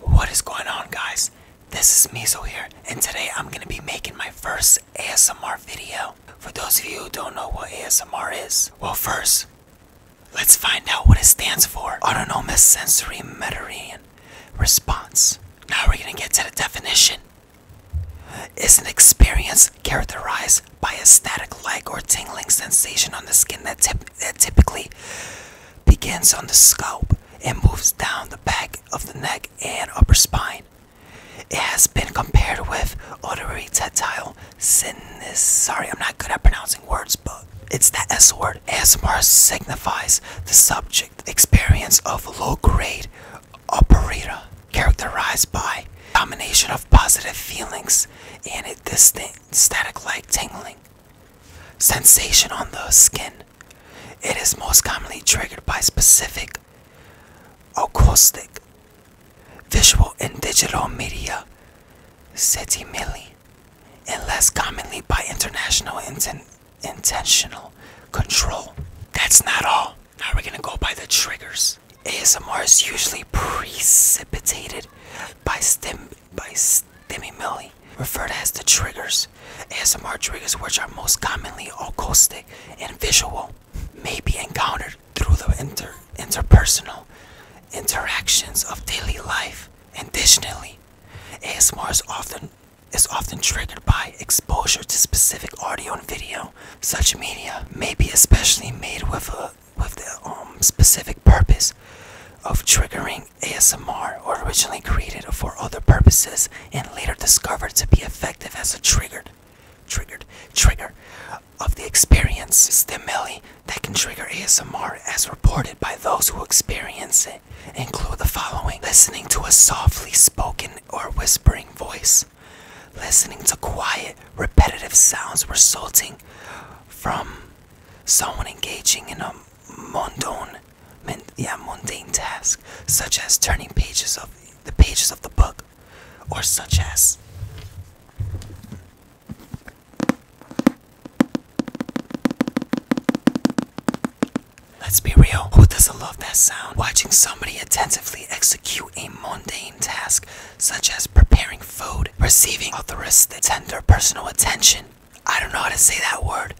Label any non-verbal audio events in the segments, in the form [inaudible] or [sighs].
What is going on guys? This is Miso here and today I'm going to be making my first ASMR video. For those of you who don't know what ASMR is, well first, let's find out what it stands for. Autonomous Sensory Meridian Response. Now we're going to get to the definition is an experience characterized by a static leg or tingling sensation on the skin that, typically begins on the scalp and moves down the back of the neck and upper spine. It has been compared with auditory tactile sinus. Sorry, I'm not good at pronouncing words, but it's that S word. ASMR signifies the subject experience of low grade operator characterized by domination of positive feelings and a distinct static-like tingling sensation on the skin. It is most commonly triggered by specific acoustic, visual, and digital media, setimili, and less commonly by international intentional control. That's not all. How are we gonna go by the triggers. ASMR is usually precipitated by stim by stimuli, referred as the triggers. ASMR triggers, which are most commonly acoustic and visual, may be encountered through the interpersonal interactions of daily life. Additionally, ASMR is often is often triggered by exposure to specific audio and video such media may be especially made with a with the um, specific purpose of triggering ASMR or originally created for other purposes and later discovered to be effective as a triggered triggered trigger of the experience stimuli that can trigger ASMR as reported by those who experience it include the following listening to a softly spoken or whispering voice Listening to quiet, repetitive sounds resulting from someone engaging in a mundane, yeah, mundane task, such as turning pages of the pages of the book, or such as Let's be real. Who doesn't love that sound? Watching somebody attentively execute execute a mundane task such as preparing food, receiving altruistic tender personal attention. I don't know how to say that word.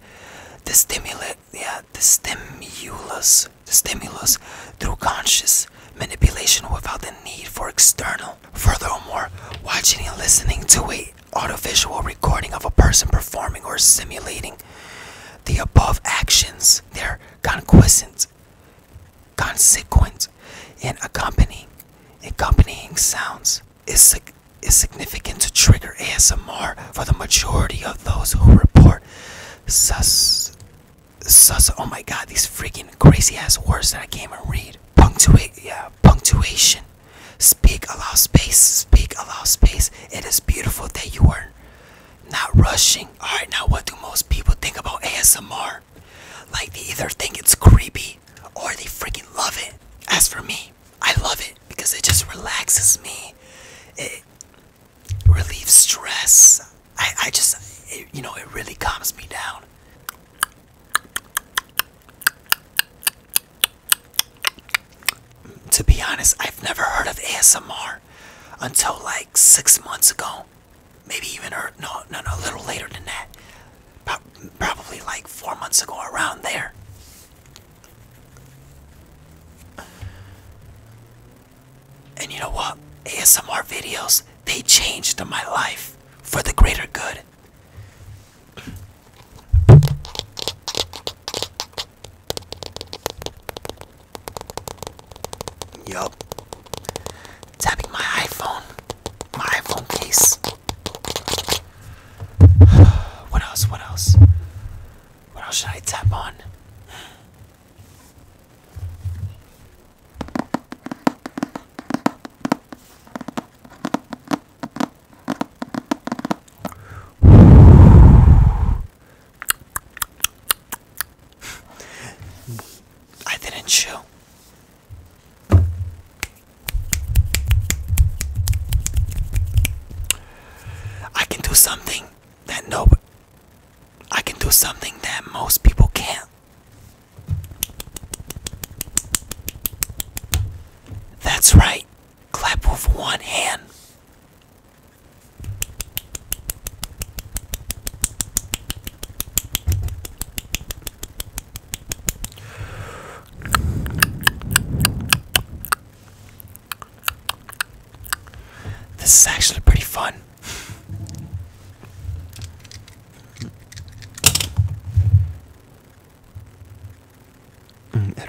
The stimulus, yeah, the stimulus, the stimulus through conscious manipulation without the need for external. Furthermore, watching and listening to a audiovisual recording of a person performing or simulating the above actions, their consequence, consequent, and accompanying, accompanying sounds is, is significant to trigger ASMR for the majority of those who report sus, sus. Oh my God, these freaking crazy ass words that I can't even read. Punctuate, yeah, punctuation. Speak, allow space. Speak, allow space. It is beautiful that you are not rushing. Alright, now what do most people think about ASMR? Like, they either think it's creepy or they freaking love it. As for me, I love it because it just relaxes me, it relieves stress. I, I just, you know, it really calms me down. To be honest, I've never heard of ASMR until like six months ago. Maybe even, or no, no, no, a little later than that. Probably like four months ago, around there. And you know what? ASMR videos, they changed my life for the greater good. Yup. Tapping my iPhone. My iPhone case. [sighs] what else? What else? What else should I tap on? I didn't show. I can do something that no I can do something that most people can't. That's right. Clap with one hand. This is actually pretty fun. Mm, that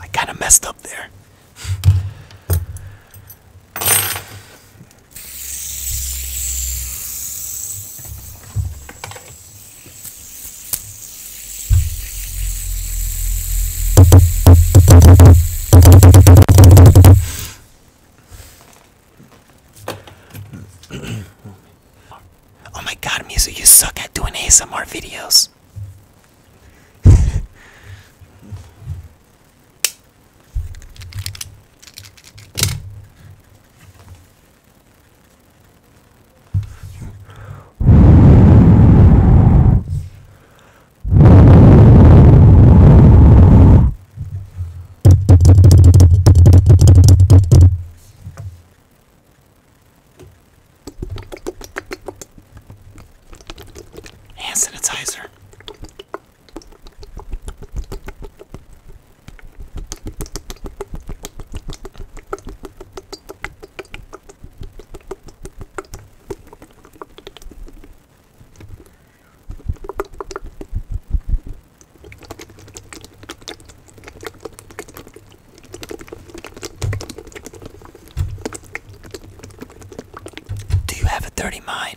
I kind of messed up there oh my god, music, you suck at doing ASMR videos. Hand sanitizer. Do you have a thirty mine?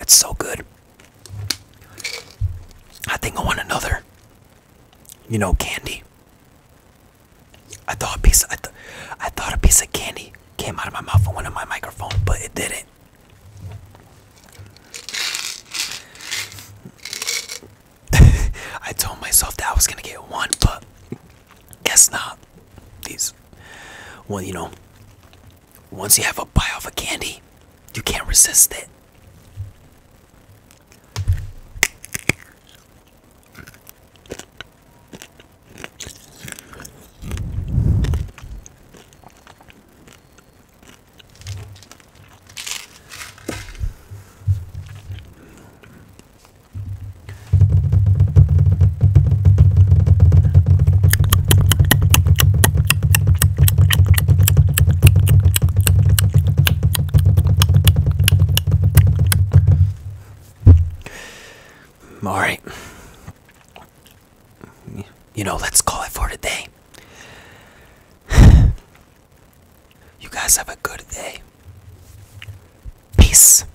It's so good. I think I want another. You know, candy. I thought a piece. Of, I, th I thought a piece of candy came out of my mouth and went in my microphone, but it didn't. [laughs] I told myself that I was gonna get one, but Guess not. These, well, you know, once you have a bite of a candy, you can't resist it. All right. You know, let's call it for today. [sighs] You guys have a good day. Peace.